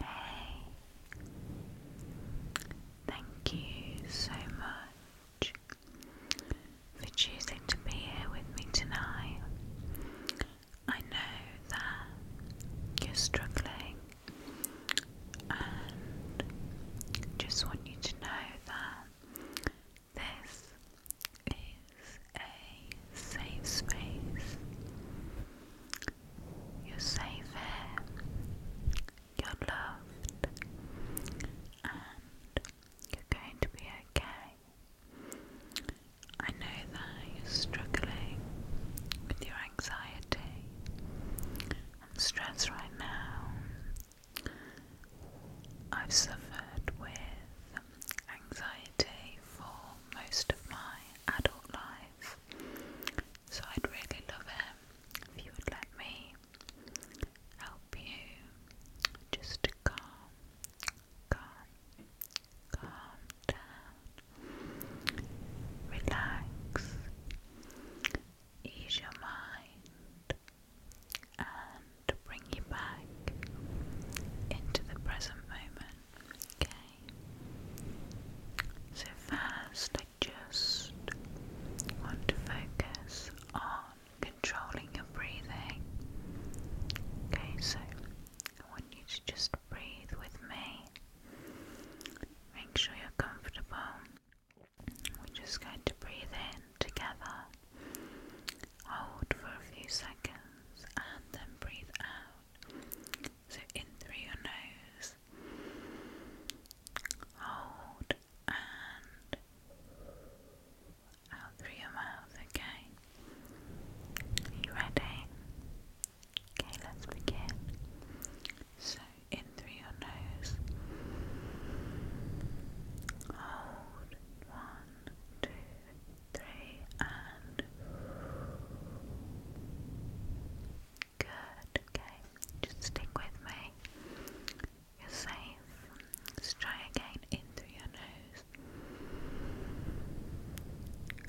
Hey, thank you so much for choosing to be here with me tonight. I know that you're struggling, and just want you to know that this a safe space. You're safe here, you're loved, and you're going to be okay. I know that you're struggling with your anxiety and stress right now. I've suffered with anxiety for most of my adult life. So I'd really love it if you would let me help you just to calm, calm, calm down, relax, ease your mind, and bring you back into the present moment. Okay. So first, I just want to focus on controlling your breathing. Okay, so I want you to just breathe with me. Make sure you're comfortable. We're just going to breathe in together. Hold for a few seconds and then breathe out. So in through your nose, hold and out through your mouth, okay? you ready? Okay, let's begin. So in through your nose, hold one, two, three, and good. Okay, just stick with me. You're safe. Let's try again in through your nose.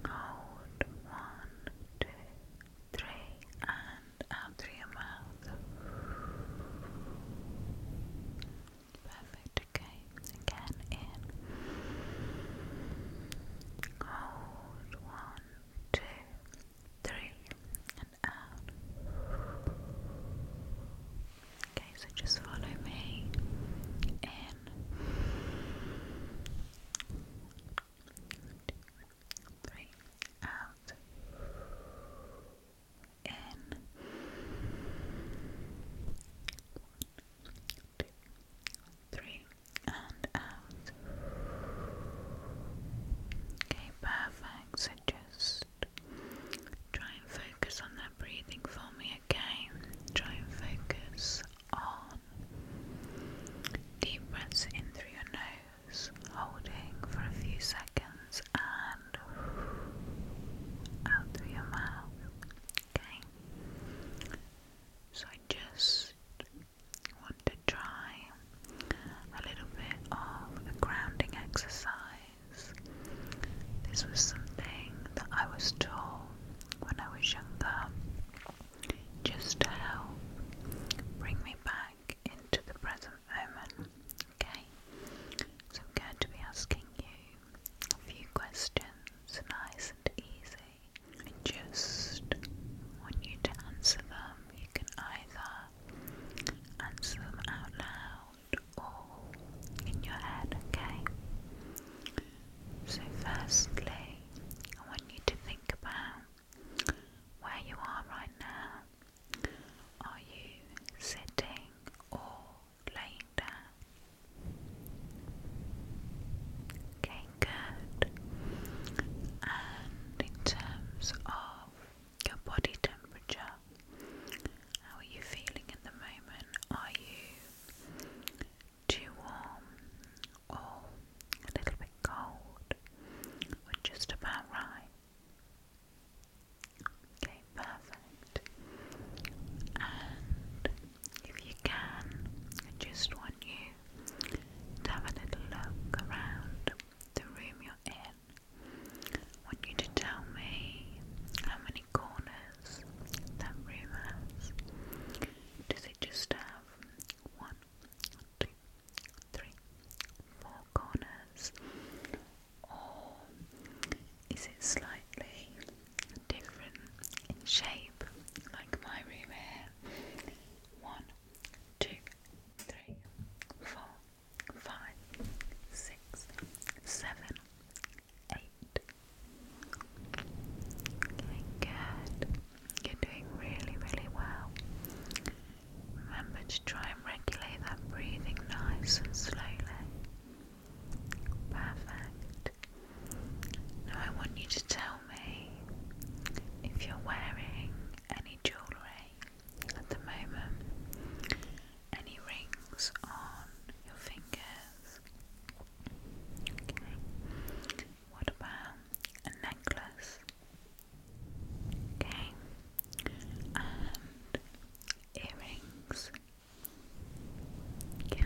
Hold one, two, three, and out through your mouth. Perfect, okay. Again, in. Hold. One, two, three, and out. Okay, so just follow me. In. Three, out, in, three, and out. Okay, perfect. So just try and focus on that breathing for me, okay? Try and focus on deep breaths in through your nose, holding for a few seconds, and out through your mouth. Okay. So I just want to try a little bit of grounding exercise. This was something that I was taught when I was younger just to help bring me back into the present moment. Okay? So I'm going to be asking you a few questions, nice and easy. just want you to answer them. You can either answer them out loud or in your head, okay? So, firstly, I want you to think about where you are right now. Are you sitting or lying down. Okay, good. And in terms of your body temperature, how are you feeling at the moment? Are you too warm or a little bit cold or just about right? Okay, perfect. And if you can, I just want you to have a little look around the room you're in. want you to tell me how many corners that room has. Does it just have one, two, three, four corners? or um, is it slightly different in shape, like my room here? One, two, three, four, five, six, seven, eight. Okay, good. You're doing really, really well. Remember to try and regulate that breathing nice and slowly. Perfect. Now I want you to tell me if you're wearing any jewellery at the moment, any rings on your fingers. Okay. What about a necklace? Okay. And earrings. Yeah.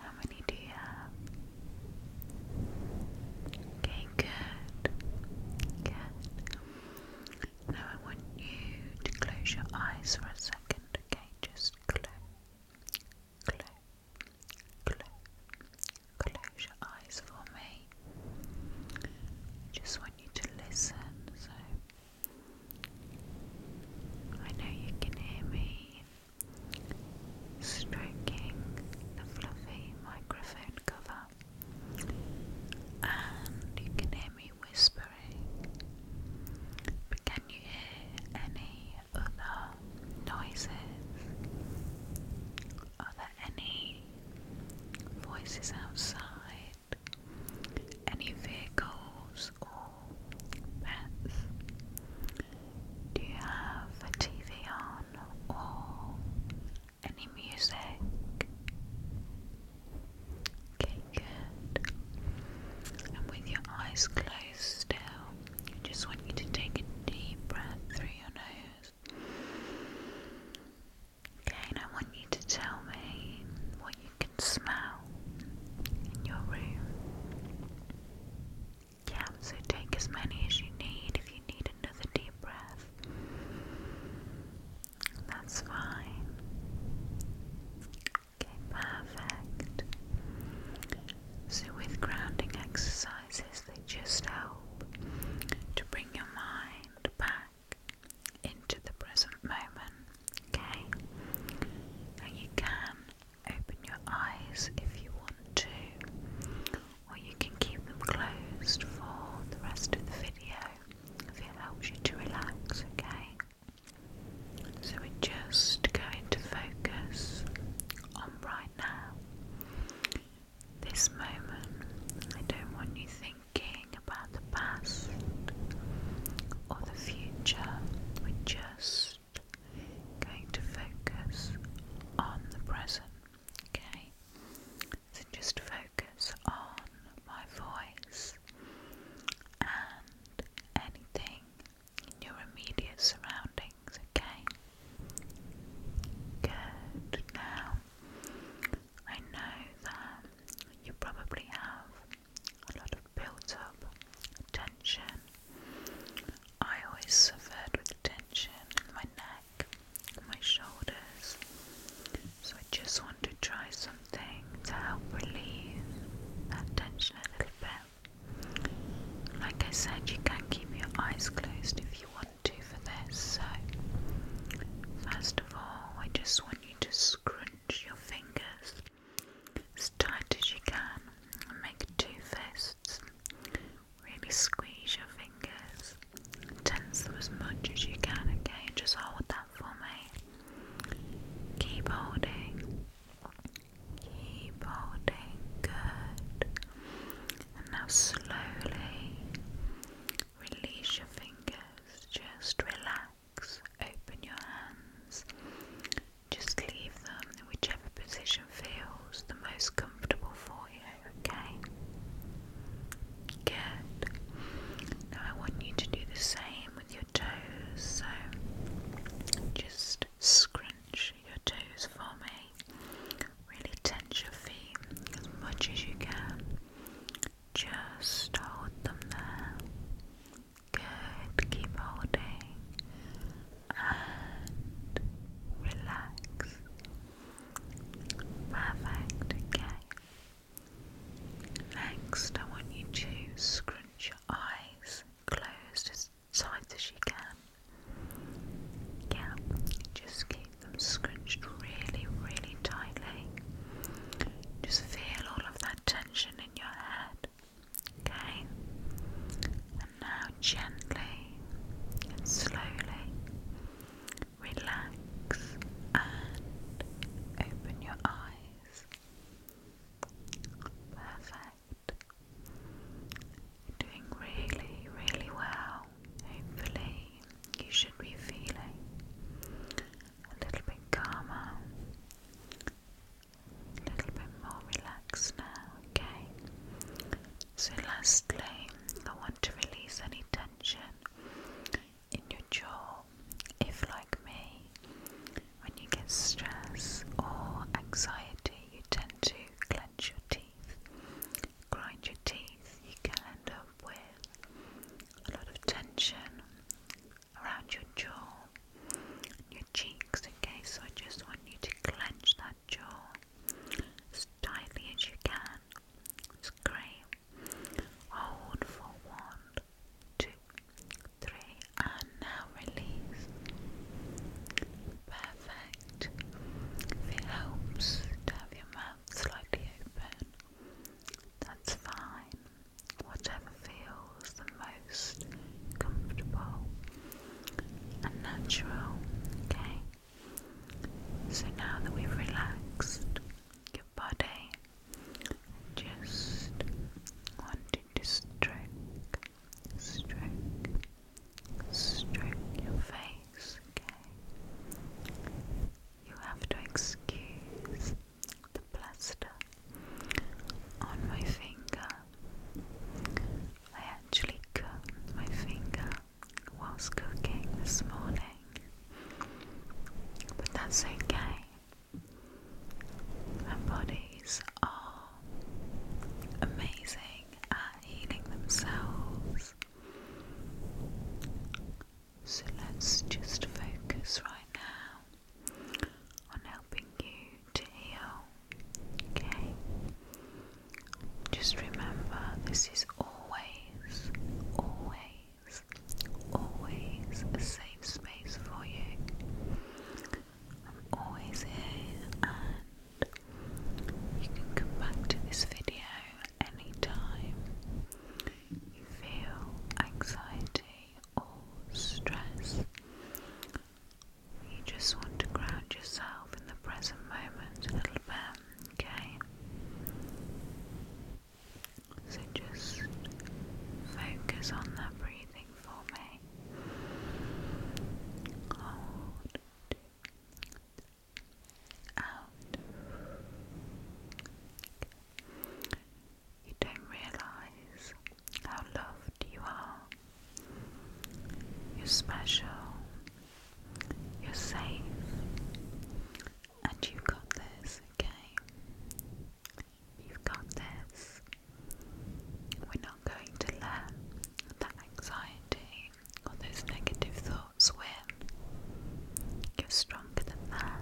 How many do you have? Okay, good. Good. Now I want you to close your eyes for a second, okay? Just close. Close. Close. Close your eyes for me. just want you to listen, so I know you can hear me stroking the fluffy microphone cover, and you can hear me whispering. But can you hear any other noises? Are there any voices outside? Any vehicles or pets? Do you have a TV on or any music? Okay, good. And with your eyes closed still, I just want you to take a deep breath through your nose. Again, I want you to tell me what you can smell in your room. Yeah, so take as many as you need. If you need another deep breath, that's fine. Okay, perfect. So, with grounding exercises, they just help to bring your mind back into the present moment, okay? And you can open your eyes if you want to, or you can keep them closed for the rest of the video if it helps you to relax, okay? So we're just going to focus on right now. This moment, I don't want you thinking thinking about the past or the future, we're just going to focus on the present, okay? So just focus on my voice and anything in your immediate surroundings, okay? Good. Now, I know that you probably have a lot of built up tension. I always suffered with tension in my neck, my shoulders. So I just want to try something to help relieve that tension a little bit. Like I said, you can keep your eyes closed if you want to for this. So, first of all, I just want you to scrunch your fingers as tight as you can and make two fists. Really squeeze your fingers. Tense them as much as you can, okay? Just hold that for me. Keep holding. Keep holding. Good. And now slowly release your fingers. Just relax open your hands, just leave them in whichever position feels the most comfortable for you, okay? Good. Now I want you to do the same with your toes, so just scrunch your toes for me. Really tense your feet as much as you can. Just hold them there. Good, keep holding and relax. Perfect, okay. Next, I want you to scrunch your eyes closed as tight as you can. Yeah, just keep them scrunched really, really tightly. Just feel all of that tension in your head. Okay? And now gently and slowly relax and open your eyes. Perfect. doing really, really well. Hopefully, you should be feeling a little bit calmer, a little bit more relaxed now, okay? So, lastly, I want to release any tension in your jaw if, like me, when you get stress or anxiety, you tend to clench your teeth, grind your teeth, you can end up with a lot of tension around your jaw, your cheeks, okay? So I just want you to clench that jaw as tightly as you can. great. Hold for one, two, three, and now release. Perfect. If it helps have your mouth slightly open, that's fine. Whatever feels the most comfortable and natural, okay? So now that we've relaxed your body, just wanting to stroke, stroke, stroke your face, okay? You have to excuse the plaster on my finger. I actually cut my finger whilst cooking this morning, but that's okay. Our bodies are amazing at healing themselves. So let's just focus right now on helping you to heal. Okay? Just remember this is always, always, always a safe space for you. I'm always here and you can come back to this video anytime you feel anxiety or stress, you just want to ground yourself in the present moment a little bit, okay? So just focus on that breathing for me out. You don't realize how loved you are. You're special. You're safe. And you've got this, okay? You've got this. We're not going to let that anxiety or those negative thoughts Where You're stronger than that.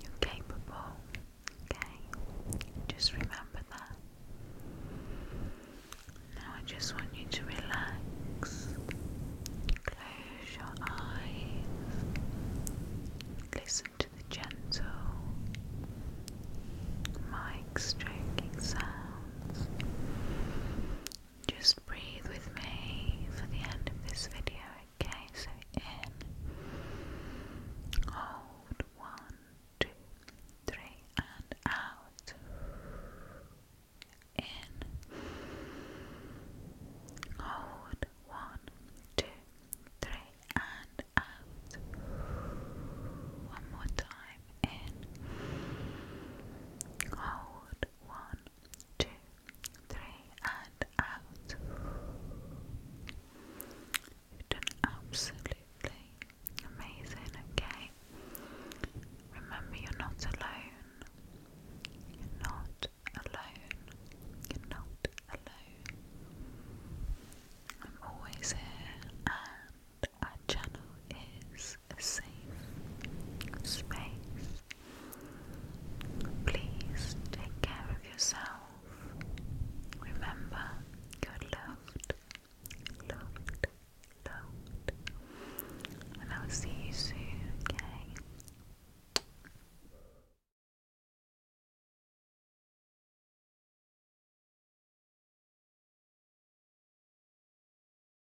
You're capable. Okay? Just remember that. Now I just want you to relax. Close your eyes. Listen to the gentle mic stroking sounds just breathe with me for the end of this video, okay? So in, hold, one, two, three, and out. In, hold, one, two, three, and out. One more time. In, hold, one, two, three, and out. you absolutely amazing, okay? Remember, you're not alone. You're not alone. You're not alone. I'm always here, and our channel is safe space. Please take care of yourself. Remember, you're loved, loved, loved. And I'll see you soon, okay?